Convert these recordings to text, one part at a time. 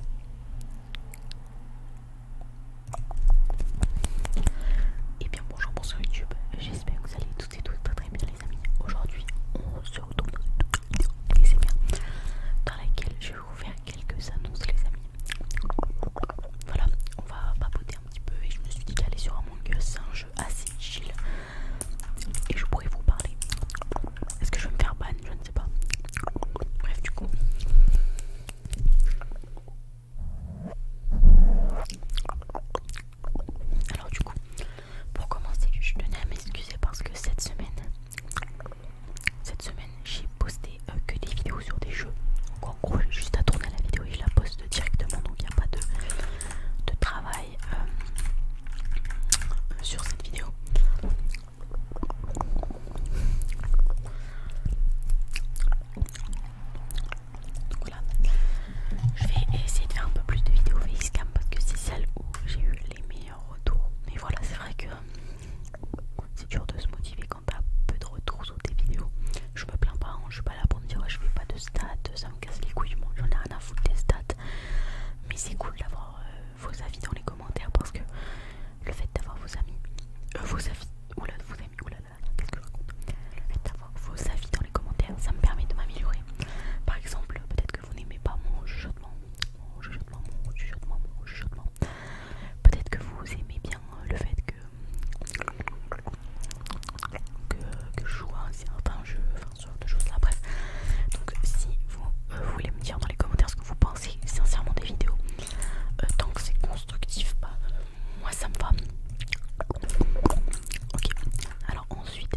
Et eh bien bonjour pour ce YouTube, j'espère que vous allez tous et toutes très très bien les amis. Aujourd'hui on se retrouve dans une toute vidéo les amis, dans laquelle je vais vous faire quelques annonces les amis. Voilà, on va papoter un petit peu et je me suis dit d'aller sur Among Us, c'est un jeu assez chill et je pourrais vous parler. Est-ce que je vais me faire ban Je ne pas. Bref, du coup. Alors, du coup, pour commencer, je tenais à m'excuser parce que cette semaine, cette semaine, j'ai posté euh, que des vidéos sur des jeux. en gros, juste à tourner la vidéo et je la poste directement, donc il n'y a pas de, travail euh, sur cette vidéo. Voilà. Je vais essayer de faire un peu plus de vidéos facecam parce que c'est celle où j'ai eu les meilleurs retours. Mais voilà, c'est vrai que c'est dur de se motiver quand t'as peu de retours sur tes vidéos. Je me plains pas, hein. je suis pas là pour me dire que je fais pas de stats, ça me casse les couilles, j'en ai rien à foutre des stats. Mais c'est cool d'avoir euh, vos avis dans les commentaires parce que le fait d'avoir vos amis, euh, vos avis, vos amis, là qu'est-ce que je raconte Le fait d'avoir vos avis dans les commentaires, ça me permet de m'améliorer. Par exemple, peut-être que vous n'aimez pas mon chuchotement, mon chuchotement, mon chuchotement, mon chuchotement. Peut-être que vous aimez bien euh, le fait que que, je joue à un certain jeu, enfin ce genre de choses là, bref. Donc si euh, vous voulez me dire dans les commentaires ce que vous pensez c'est sincèrement des vidéos euh, tant que c'est constructif pas bah, euh, moi ça me va ok alors ensuite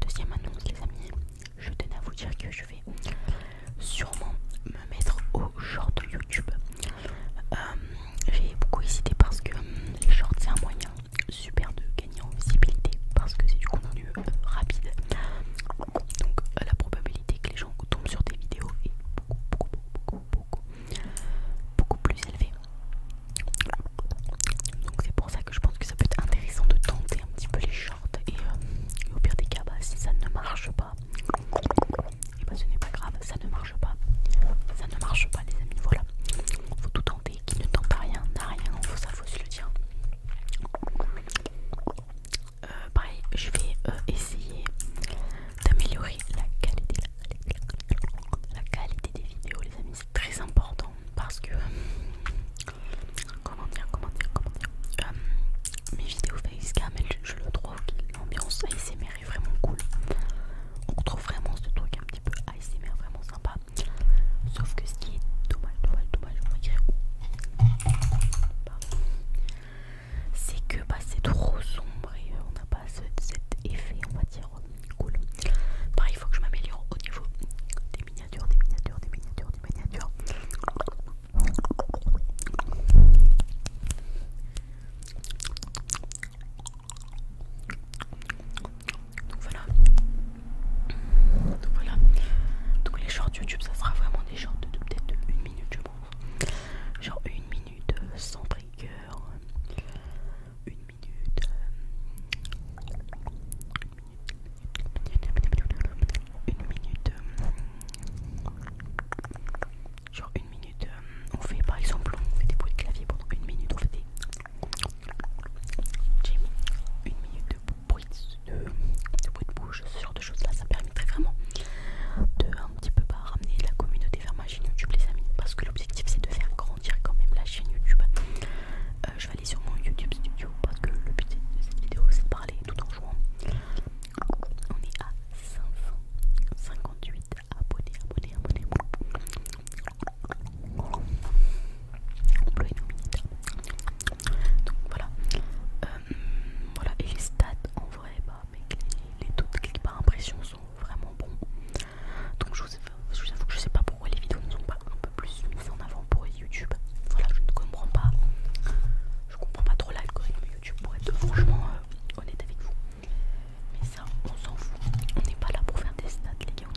deuxième annonce les amis je tenais à vous dire que je vais sûrement me mettre au de YouTube euh, j'ai beaucoup hésité parce que les shorts c'est un moyen super de gagner en visibilité parce que c'est du contenu euh, rapide. Donc euh, la probabilité que les gens tombent sur tes vidéos est beaucoup beaucoup beaucoup beaucoup beaucoup plus élevée. Donc c'est pour ça que je pense que ça peut être intéressant de tenter un petit peu les shorts et, euh, au pire des cas bah, si ça ne marche pas et eh bah ben, ce n'est pas grave ça ne marche pas ça ne marche pas les amis voilà faut tout tenter qui ne tente à rien n'a rien faut ça faut se le dire euh, pareil, je vais euh, essayer d'améliorer la qualité, des vidéos, les amis. C'est très important parce que. Comment dire, comment dire, comment dire. Euh, mes vidéos facecam, je, je le trouve l'ambiance ASMR est vraiment cool. On trouve vraiment ce truc un petit peu ASMR, vraiment sympa. Sauf que ce qui est dommage, dommage, dommage, on écrire C'est que bah, c'est trop sombre et euh, on n'a pas cet effet, on va dire, cool. Pareil, il faut que je m'améliore au niveau des miniatures, des miniatures, des miniatures, des miniatures. Donc voilà. Donc voilà. Donc les shorts YouTube, ça sera vraiment des shorts de peut-être une minute, je pense. Genre une minute euh, sans trigger. Une minute. Euh, une minute. Euh, genre une minute. On fait par exemple, on fait des bruits de clavier pendant une minute, on fait j'ai une minute de bruit de, bouche, ce genre de choses là, ça permettrait vraiment de un petit peu bah, ramener la communauté vers ma chaîne YouTube les amis parce que l'objectif c'est de faire grandir quand même la chaîne YouTube. Euh, je vais aller sur mon YouTube studio parce que le but de cette vidéo c'est de parler tout en jouant. On est à 558 abonnés, abonnés, abonnés donc voilà euh, voilà et les stats en vrai bah, les, doutes taux de par impression sont vraiment bons donc je vous, je avoue que je sais pas pourquoi les vidéos ne sont pas un peu plus mises en avant pour YouTube voilà je ne comprends pas je comprends pas trop l'algorithme YouTube pour être franchement euh, honnête avec vous mais ça on s'en fout on n'est pas là pour faire des stats les gars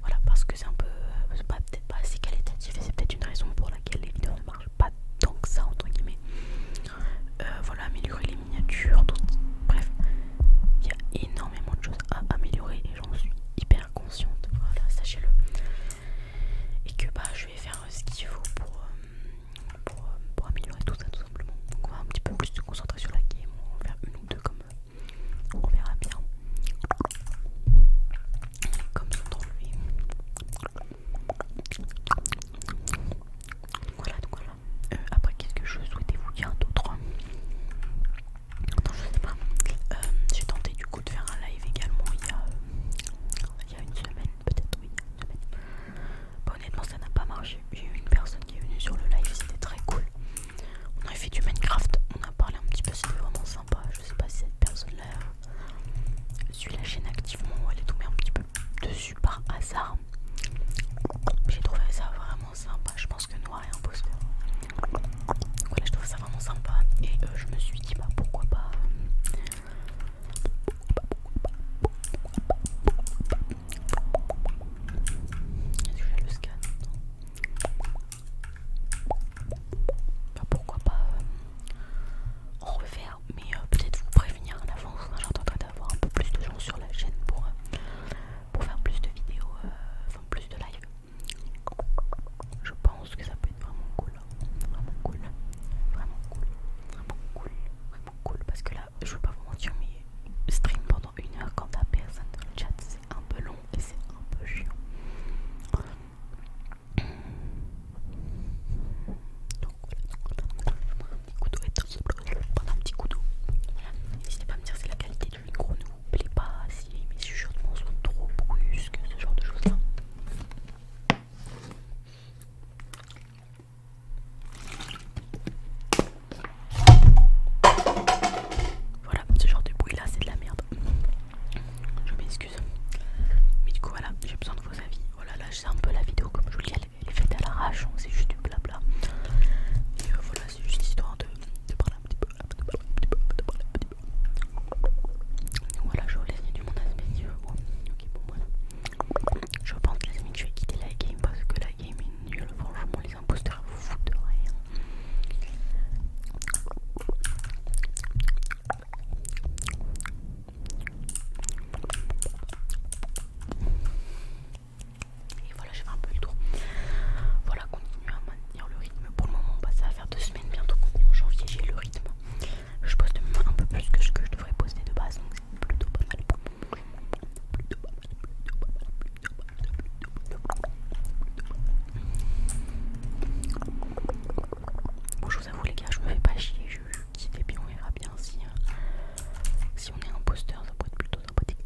voilà, parce que c'est un peu. Euh, peut-être pas assez qualitatif et c'est peut-être une raison pour laquelle les vidéos ne marchent pas tant que ça, entre guillemets. Euh, voilà, améliorer les miniatures, Bref, il y a énormément de choses à améliorer et j'en suis hyper consciente. Voilà, sachez-le. Et que bah, je vais faire euh, ce qu'il faut pour, améliorer tout ça, tout simplement. Donc, on va un petit peu plus se concentrer sur la game. On va faire une ou deux comme, on verra bien. Comme trop lui. Voilà, donc voilà. Euh, après, qu'est-ce que je souhaitez vous dire d'autre Non, je sais pas. Euh, j'ai tenté du coup de faire un live également il y a, euh, une semaine, peut-être, oui, honnêtement, ça n'a pas marché. J'ai eu une personne qui est venue sur le live, c'était très cool. On a fait du Minecraft, on a parlé un petit peu, c'était vraiment sympa je sais pas si cette personne-là suit la chaîne activement ou elle est tombée un petit peu dessus par hasard. J'ai trouvé ça vraiment sympa. Je pense que Noir est Donc, Voilà, je trouve ça vraiment sympa. Et euh, je me suis dit, bah pourquoi pas. Euh, Est-ce que j'ai le scan bah, pourquoi pas euh, refaire, mais euh, peut-être vous prévenir en avance. Hein, j'entendrai d'avoir un peu plus de gens sur la chaîne pour, euh, faire plus de vidéos, enfin plus de live. Je pense que ça peut être vraiment cool, hein. vraiment cool, vraiment cool, vraiment cool, vraiment cool. Parce que là, je veux pas vous mentir, mais stream pendant une heure quand t'as personne dans le chat, un peu long et c'est un peu chiant. Donc voilà, je un petit couteau est je vais prendre un petit couteau. d'eau N'hésitez pas à me dire si la qualité du micro ne vous plaît pas, si mes chuchotements sont trop brusques, ce genre de choses là. Voilà, ce genre de bruit là, c'est de la merde. Je m'excuse. Mais du coup, voilà, j'ai besoin de vos avis. Voilà, oh là, c'est un peu la vidéo, comme je vous le dis, elle, est faite à l'arrache, hein, c'est juste du blabla. Et euh, voilà, c'est juste histoire de, parler un petit peu. De parler un petit peu, de parler un petit peu. voilà, je vous laisse du monde aspect. Oh, ok, bon, voilà. Je pense, les amis, que je vais quitter la game parce que la game est nulle. Franchement, les imposteurs vous foutent rien. Et voilà, j'ai fait un peu le tour. Voilà, continuer à maintenir le rythme. Pour le moment, bah, ça va faire deux semaines bientôt en janvier. J'ai le rythme. Je pose un peu plus que ce que je devrais poser de base, donc c'est plutôt pas mal. Bon, je vous avoue, les gars, je me fais pas chier. Je, je bien on verra bien si, euh, on est poster, Ça pourrait être plutôt sympathique.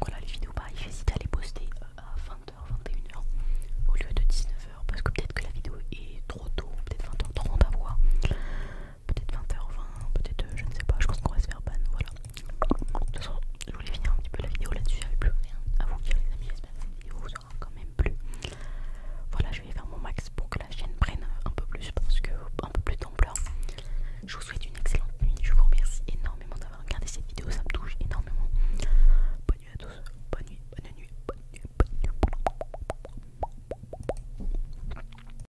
Voilà, les vidéos, pareil, j'hésite à les poster euh, à 20h, 21h au lieu de 19h parce que peut-être que la vidéo est trop tôt, peut-être 20h30 à voir peut-être 20h20, peut-être euh, je ne sais pas, je pense qu'on va se faire ban, voilà. De toute façon, je voulais finir un petit peu la vidéo là-dessus, avait plus rien à vous dire les amis, j'espère que cette vidéo vous aura quand même plu. Voilà, je vais faire mon max pour que la chaîne prenne un peu plus, parce que un peu plus d'ampleur. Je vous souhaite une excellente nuit, je vous remercie énormément d'avoir regardé cette vidéo, ça me touche énormément. Bonne nuit à tous, bonne nuit, bonne nuit, bonne nuit, bonne nuit.